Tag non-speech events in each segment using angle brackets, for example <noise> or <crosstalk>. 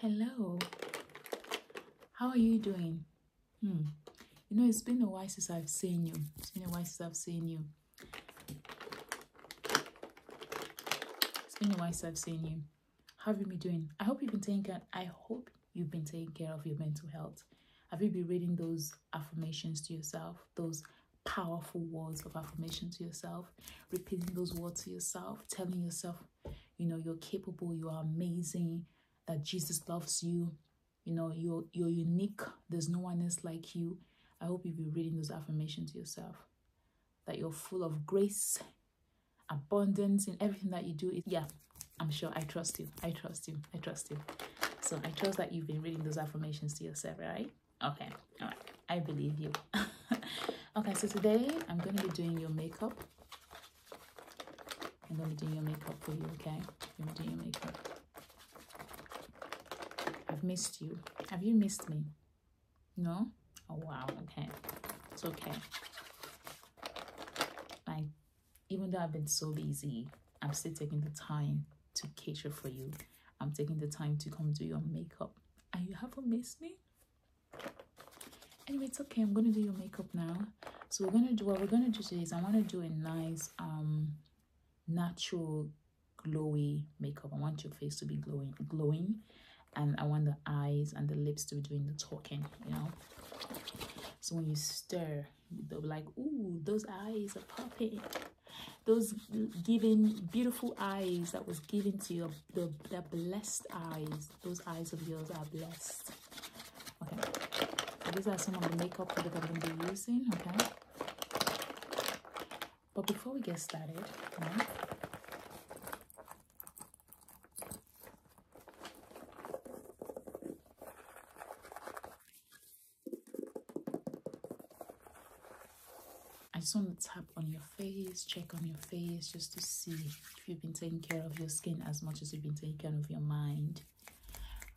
Hello. How are you doing? Hmm. You know, it's been a while since I've seen you. It's been a while since I've seen you. It's been a while since I've seen you. How have you been doing? I hope you've been taking I hope you've been taking care of your mental health. Have you been reading those affirmations to yourself? Those powerful words of affirmation to yourself? repeating those words to yourself, telling yourself, you know, you're capable, you are amazing, that Jesus loves you, you know, you're you're unique, there's no one else like you. I hope you've been reading those affirmations to yourself. That you're full of grace, abundance in everything that you do. Yeah, I'm sure I trust you. I trust you. I trust you. So I trust that you've been reading those affirmations to yourself, right? okay i believe you <laughs> okay so today i'm going to be doing your makeup i'm going to be doing your makeup for you okay i'm doing your makeup i've missed you have you missed me no oh wow okay it's okay like even though i've been so busy i'm still taking the time to cater for you i'm taking the time to come do your makeup are you haven't missed me anyway it's okay i'm gonna do your makeup now so we're gonna do what we're gonna do today is i want to do a nice um natural glowy makeup i want your face to be glowing glowing and i want the eyes and the lips to be doing the talking you know so when you stare, they'll be like ooh those eyes are popping those giving beautiful eyes that was given to you the, blessed eyes those eyes of yours are blessed okay these are some of the makeup that i'm going to be using okay but before we get started I just want to tap on your face, check on your face just to see if you've been taking care of your skin as much as you've been taking care of your mind.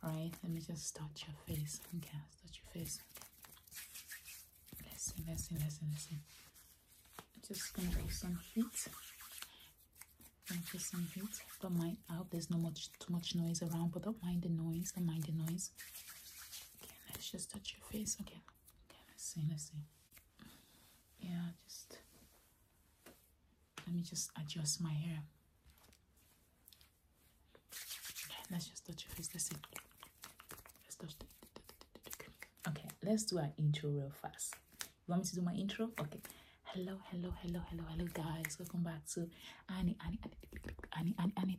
Right, let me just touch your face. Okay, touch your face. Let's see, let's see, let's see, let's see. I'm just gonna put some heat. Gonna some heat. Don't mind. I hope there's not much too much noise around, but don't mind the noise. Don't mind the noise. Okay, let's just touch your face again. Okay, let's see, let's see. Yeah, just let me just adjust my hair. Okay, let's just touch your face. Let's see. Let's touch the, Okay, let's do an intro real fast. You want me to do my intro? Okay. Hello, hello, hello, hello, hello, guys. Welcome back to Annie, Annie, Annie, Annie, Annie. Annie.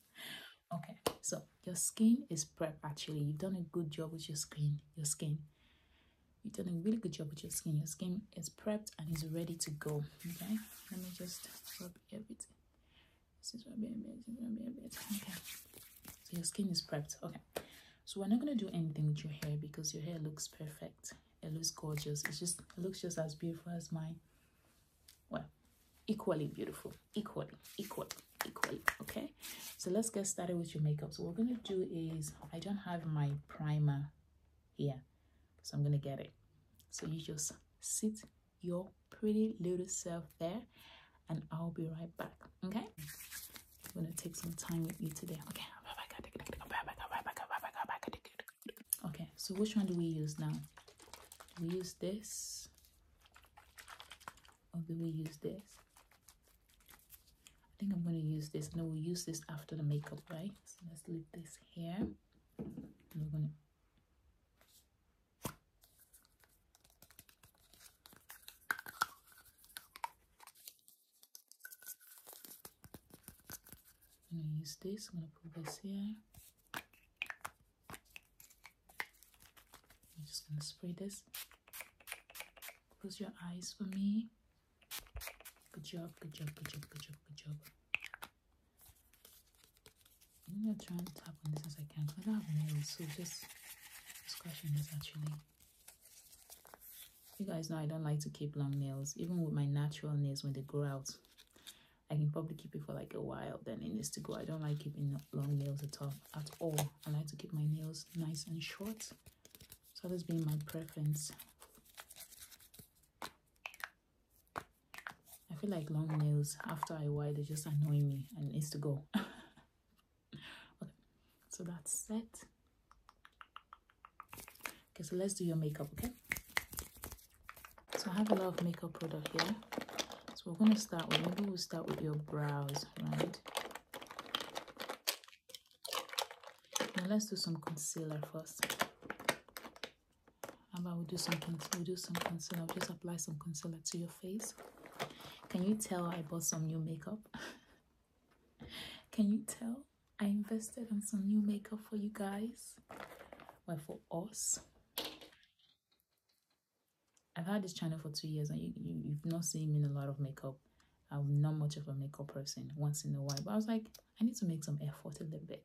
okay so your skin is prepped. actually you've done a good job with your skin your skin you've done a really good job with your skin your skin is prepped and is ready to go okay let me just rub everything this is rubbing a bit, rubbing a bit. okay so your skin is prepped okay so we're not going to do anything with your hair because your hair looks perfect it looks gorgeous it's just looks just as beautiful as mine well equally beautiful equally equally equally okay so let's get started with your makeup so what we're going to do is i don't have my primer here so i'm going to get it so you just sit your pretty little self there and i'll be right back okay i'm going to take some time with you today okay okay so which one do we use now do we use this or do we use this I think I'm going to use this and then we'll use this after the makeup right so let's leave this here I'm gonna use this, I'm gonna put this here I'm just gonna spray this. Close your eyes for me. Good job, good job, good job, good job, good job. I'm gonna try and tap on this as I can I don't have nails, so just scratching this actually. You guys know I don't like to keep long nails, even with my natural nails when they grow out. I can probably keep it for like a while, then it needs to go. I don't like keeping long nails at all, at all. I like to keep my nails nice and short. So that's being my preference. I feel like long nails after a while they just annoy me and it needs to go. <laughs> okay, so that's set. Okay, so let's do your makeup, okay? So I have a lot of makeup product here. So we're going to start with, maybe we'll start with your brows, right? Now let's do some concealer first. How about we do do some concealer, I'll just apply some concealer to your face. Can you tell I bought some new makeup? <laughs> Can you tell? I invested in some new makeup for you guys. Well, for us. I've had this channel for two years and you, you, have not seen me in a lot of makeup. I'm not much of a makeup person once in a while. But I was like, I need to make some effort a little bit.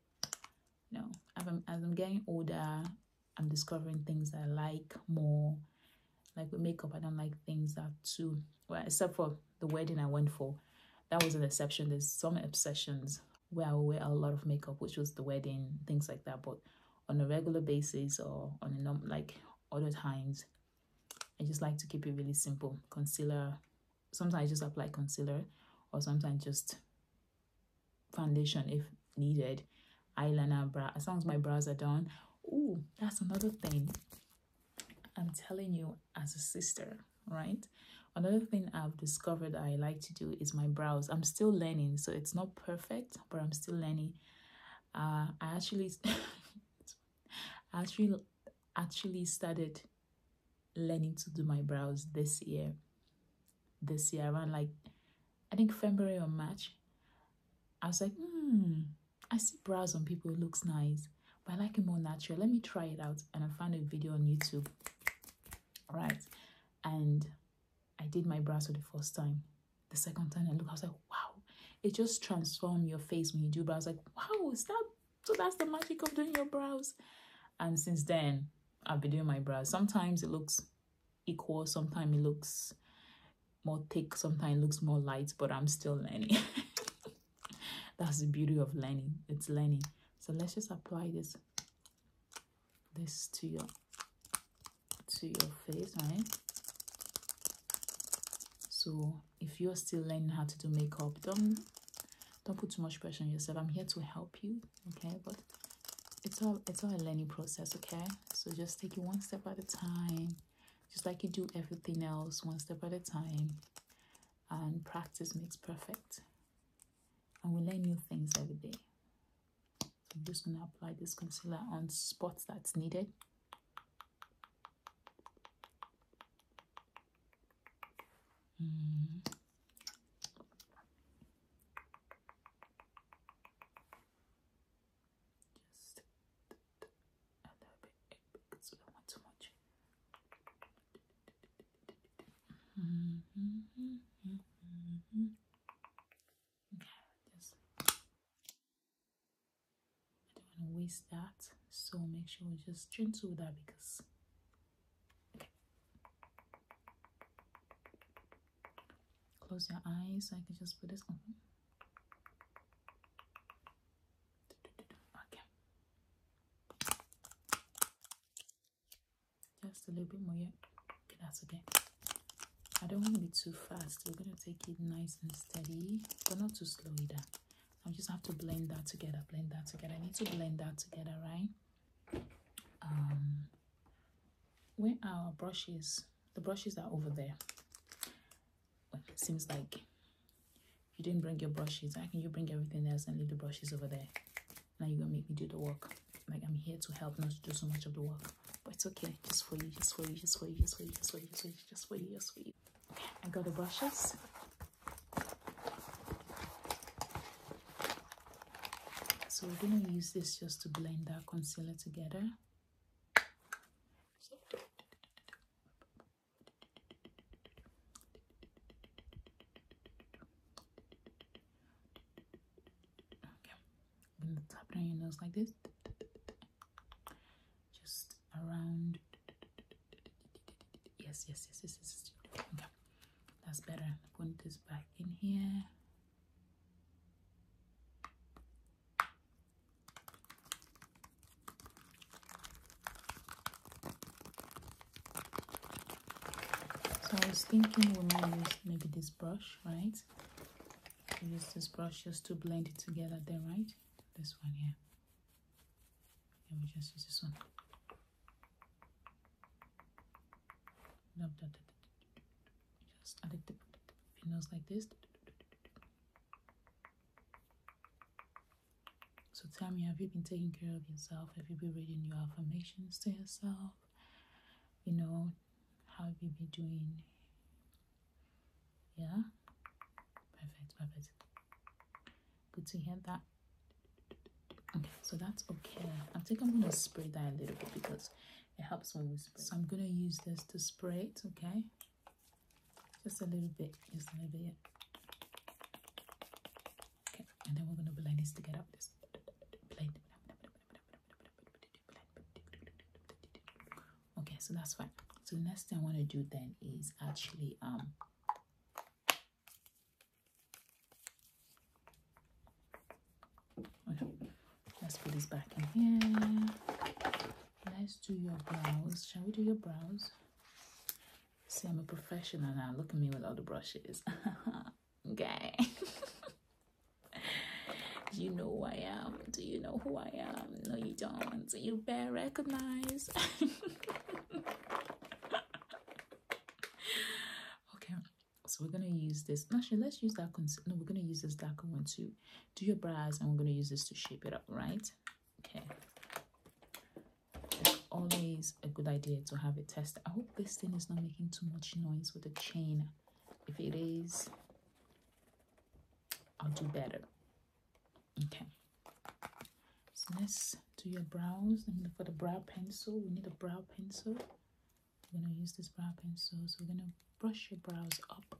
You know, as I'm, getting older, I'm discovering things I like more. Like with makeup, I don't like things that too, well, except for the wedding I went for, that was an exception. There's some obsessions where I wear a lot of makeup, which was the wedding, things like that. But on a regular basis or on a like other times, I just like to keep it really simple. Concealer, sometimes I just apply concealer or sometimes just foundation if needed eyeliner bra as long as my brows are done. oh that's another thing I'm telling you as a sister, right? Another thing I've discovered I like to do is my brows. I'm still learning, so it's not perfect, but I'm still learning. Uh, I actually, <laughs> actually, actually started learning to do my brows this year. This year, around like I think February or March, I was like, hmm, I see brows on people. looks nice but I like it more natural. Let me try it out. And I found a video on YouTube, right? And I did my brows for the first time. The second time I look, I was like, wow, it just transforms your face when you do brows. Like, wow, is that so? That's the magic of doing your brows. And since then, I've been doing my brows. Sometimes it looks equal, sometimes it looks more thick, sometimes it looks more light, but I'm still learning. <laughs> that's the beauty of learning it's learning so let's just apply this this to your to your face right so if you're still learning how to do makeup don't don't put too much pressure on yourself i'm here to help you okay but it's all it's all a learning process okay so just take it one step at a time just like you do everything else one step at a time and practice makes perfect and we learn new things every day i'm just going to apply this concealer on spots that's needed mm-hmm a I don't want to waste that, so make sure we just gentle with that because. Close your eyes. So I can just put this on. Okay. Just a little bit more, yeah. Okay, that's okay. I don't want to be too fast. We're gonna take it nice and steady, but not too slow either. I just have to blend that together, blend that together. I need to blend that together, right? Um, where our brushes, the brushes are over there seems like you didn't bring your brushes. I can you bring everything else and leave the brushes over there? Now you're gonna make me do the work. Like I'm here to help, not to do so much of the work. But it's okay, just for you, just for you, just for you, just for you, just for you, just for you, just for you, I got the brushes. So we're gonna use this just to blend our concealer together. Okay. tap it your nose like this. Just around. Yes, yes, yes, yes, yes. Okay. That's better. I'm putting this back in here. So I was thinking we might use maybe this brush, right? use this brush just to blend it together there, right? This one here. And we just use this one. Just like this. So tell me, have you been taking care of yourself? Have you been reading your affirmations to yourself? You know, how have you been doing? Yeah? Perfect, perfect. Good to hear that. Okay, so that's okay. I think I'm gonna spray that a little bit because it helps when we So I'm gonna use this to spray it, okay? Just a little bit, just a little bit. Okay, and then we're gonna blend this together with this Okay, so that's fine. So the next thing I want to do then is actually um let's put this back in here let's do your brows shall we do your brows see i'm a professional now look at me with all the brushes <laughs> okay <laughs> you know who i am do you know who i am no you don't you better recognize <laughs> okay so we're gonna use this actually let's use that no we're gonna use this darker one too do your brows I'm going to use this to shape it up right okay it's always a good idea to have it tested i hope this thing is not making too much noise with the chain if it is i'll do better okay so let's do your brows for the brow pencil we need a brow pencil we're going to use this brow pencil so we're going to brush your brows up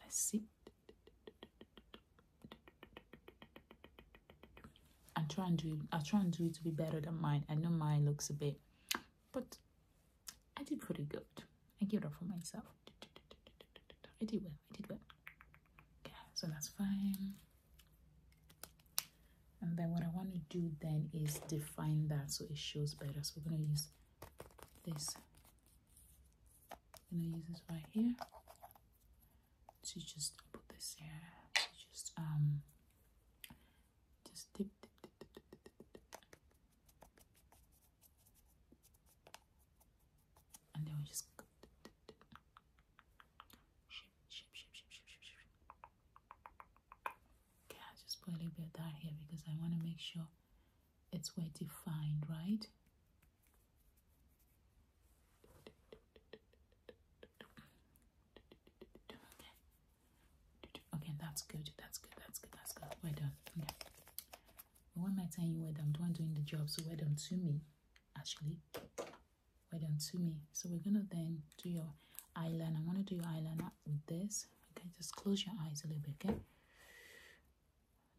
Let's see. I try and do I try and do it to be better than mine. I know mine looks a bit, but I did pretty good. I give it up for myself. I did well. I did well. Okay, so that's fine. And then what I want to do then is define that so it shows better. So we're gonna use this I'm gonna use this right here to just put this here to just um just dip dip dip dip dip dip, dip, dip. and then we just go dip, dip, dip. Ship, ship, ship, ship, ship, ship, ship. Okay, I'll just put a little bit of that here because I want to make sure it's well defined, right? Okay. that's good, that's good, that's good, that's good. Well done. Okay. Why am I telling you well done? The one doing the job, so well done to me, actually. Well done to me. So we're gonna then do your eyeliner. I'm gonna do your eyeliner with this. Okay, just close your eyes a little bit, okay?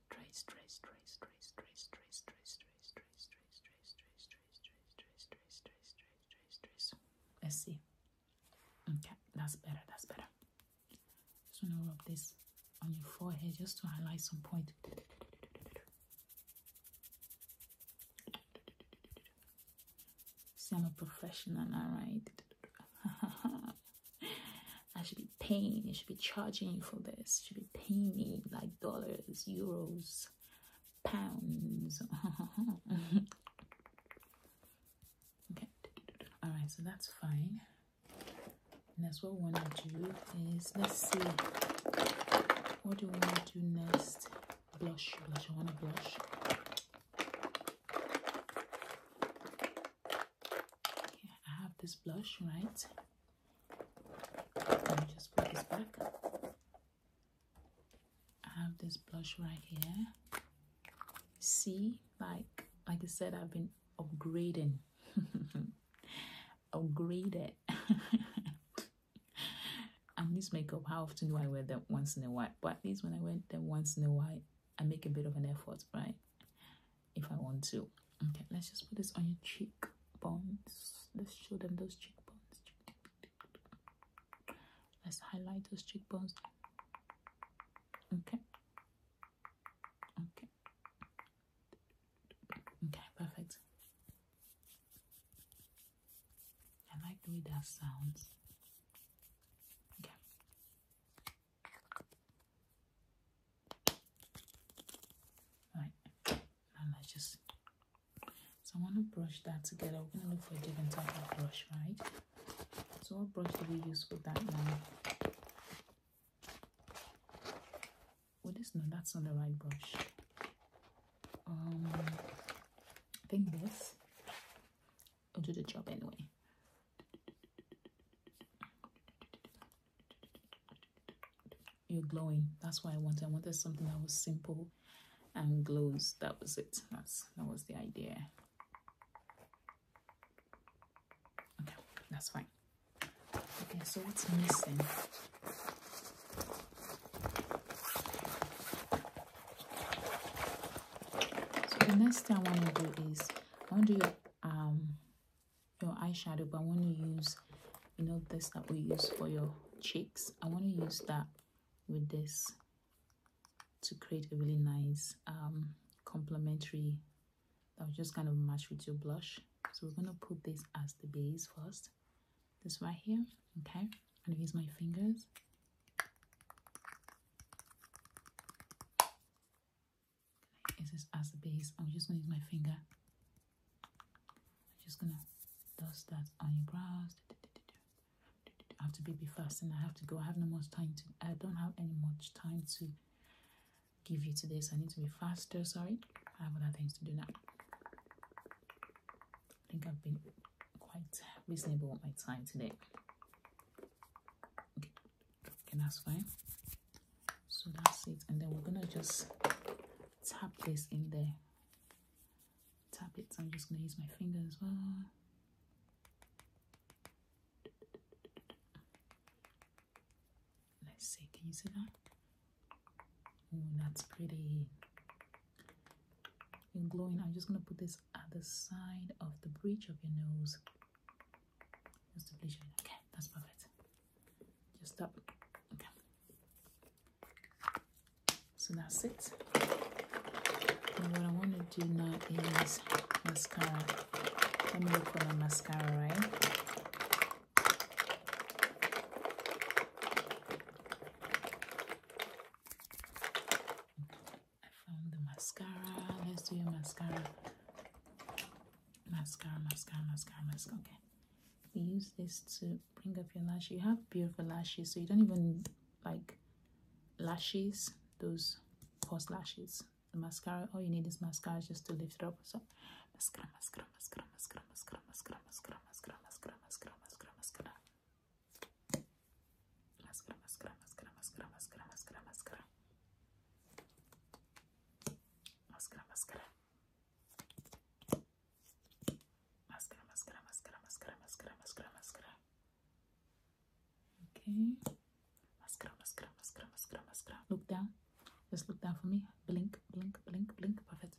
Trace, trace, trace, trace, trace, trace, trace, trace, trace, trace, trace, trace, trace, trace, trace, trace, trace, trace, trace, trace. Let's see. Okay, that's better, that's better. Just wanna rub this on your forehead just to highlight some point. See, I'm a professional, alright. I should be paying, I should be charging you for this, should be paying me like dollars, euros, pounds. <laughs> okay, alright, so that's fine. that's what we want to do is let's see what do we want to do next. Blush, blush, I want to blush. I have this blush, right? Let me just put this back. I have this blush right here. See, like like I said, I've been upgrading. <laughs> upgraded. <laughs> I this makeup. How often do I wear them? Once in a while. But at least when I wear them once in a while, I make a bit of an effort, right? If I want to. Okay, let's just put this on your cheekbones. Let's show them those cheekbones. Let's highlight those cheekbones. Okay. Okay. Okay, perfect. I like the way that sounds. Okay. Right. Now let just. So I want to brush that together. We're gonna look for a different type of brush, right? So what brush do we use for that now? Well, this no, that's not the right brush. Um, think this. I'll do the job anyway. You're glowing. That's why I wanted. I wanted something that was simple and glows. That was it. That's that was the idea. Okay, that's fine. Okay, so what's missing? so the next thing i want to do is i want to do your um your eyeshadow but i want to use you know this that we use for your cheeks i want to use that with this to create a really nice um complementary that will just kind of match with your blush so we're going to put this as the base first this right here okay i'm going to use my fingers I use as a base? I'm just gonna use my finger. I'm just gonna dust that on your brows. I have to be fast and I have to go. I have no much time to I don't have any much time to give you to this. I need to be faster, sorry. I have other things to do now. I think I've been quite reasonable with my time today. Okay, that's fine. So that's it, and then we're gonna just tap this in there. Tap it. I'm just gonna use my finger as well. Let's see. Can you see that? Oh, that's pretty. And glowing. I'm just gonna put this at the side of the bridge of your nose. Just the bridge of your nose. Okay, that's perfect. Just stop. Okay. So that's it. And what I want to do now is mascara. Let me look for my mascara, right? I found the mascara. Let's do your mascara. Mascara, mascara, mascara, mascara. Okay. We use this to bring up your lashes. You have beautiful lashes, so you don't even like lashes, those coarse lashes. The mascara, all you need is mascara just to lift it up. So mascara, mascara, mascara, mascara, mascara, mascara, mascara, mascara, mascara, mascara, mascara, mascara. Máscara, máscara, máscara, máscara, máscara, máscara, máscara. Máscara, máscara. Máscara, máscara, máscara, máscara, máscara, máscara, máscara. Okay. Máscara, máscara, máscara, máscara, máscara. Look down. Just look down for me. Blink, blink, blink, blink. Perfect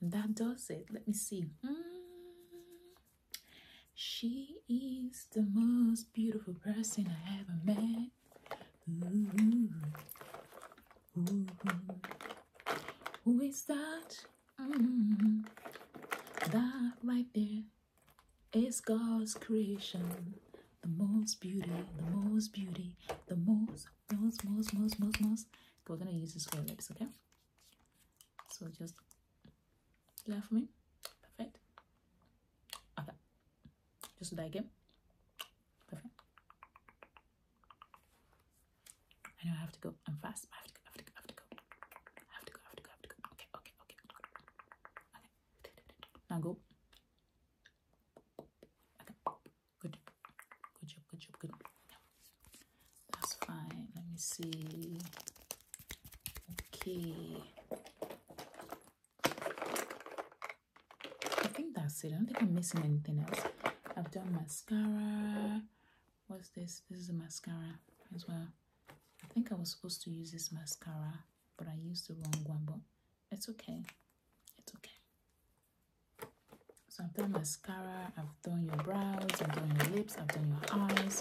And that does it. Let me see. Mm. She is the most beautiful person I ever met. Who is that? Mm. That right there is God's creation. The most beauty, the most beauty, the most, most, most, most, most, most. We're gonna use this for lips, okay? so just clear for me perfect okay just do that again perfect I know I have to go I'm fast I have to go I have to go I have to go I have to go I have to go I have to go okay okay okay okay now go okay good good job good job good job that's fine. Let me see. Okay. I think that's it. I don't think I'm missing anything else. I've done mascara. What's this? This is a mascara as well. I think I was supposed to use this mascara, but I used the wrong one, but it's okay. It's okay. So I've done mascara, I've done your brows, I've done your lips, I've done your eyes.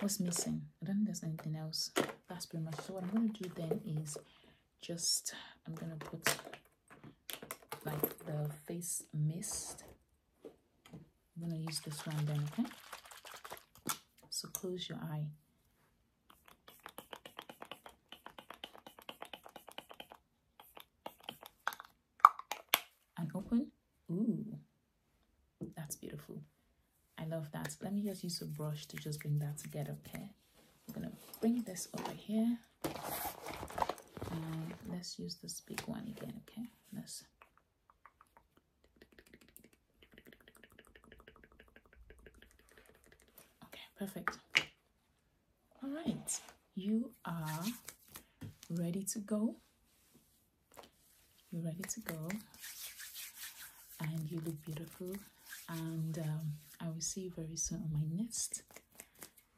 What's missing? I don't think there's anything else. That's pretty much. So what I'm going to do then is just, I'm going to put like the face mist. I'm going to use this one then, okay? So close your eye and open. Ooh, that's beautiful. I love that. Let me just use a brush to just bring that together, okay? I'm gonna bring this over here. And let's use this big one again, okay? Let's okay, perfect. All right, you are ready to go. You're ready to go, and you look beautiful. And um, I will see you very soon on my nest,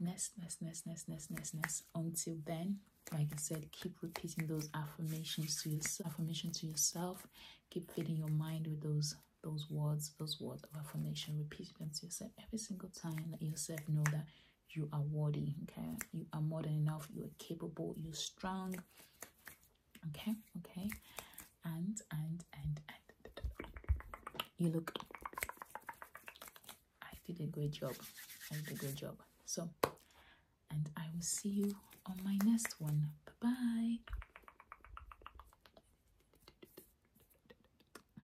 nest, nest, nest, nest, nest, next, Until then, like I said, keep repeating those affirmations to yourself. Affirmation to yourself. Keep feeding your mind with those those words, those words of affirmation. Repeat them to yourself every single time. Let yourself know that you are worthy okay you are modern enough you are capable you're strong okay okay and and and and you look i did a great job i did a great job so and i will see you on my next one bye bye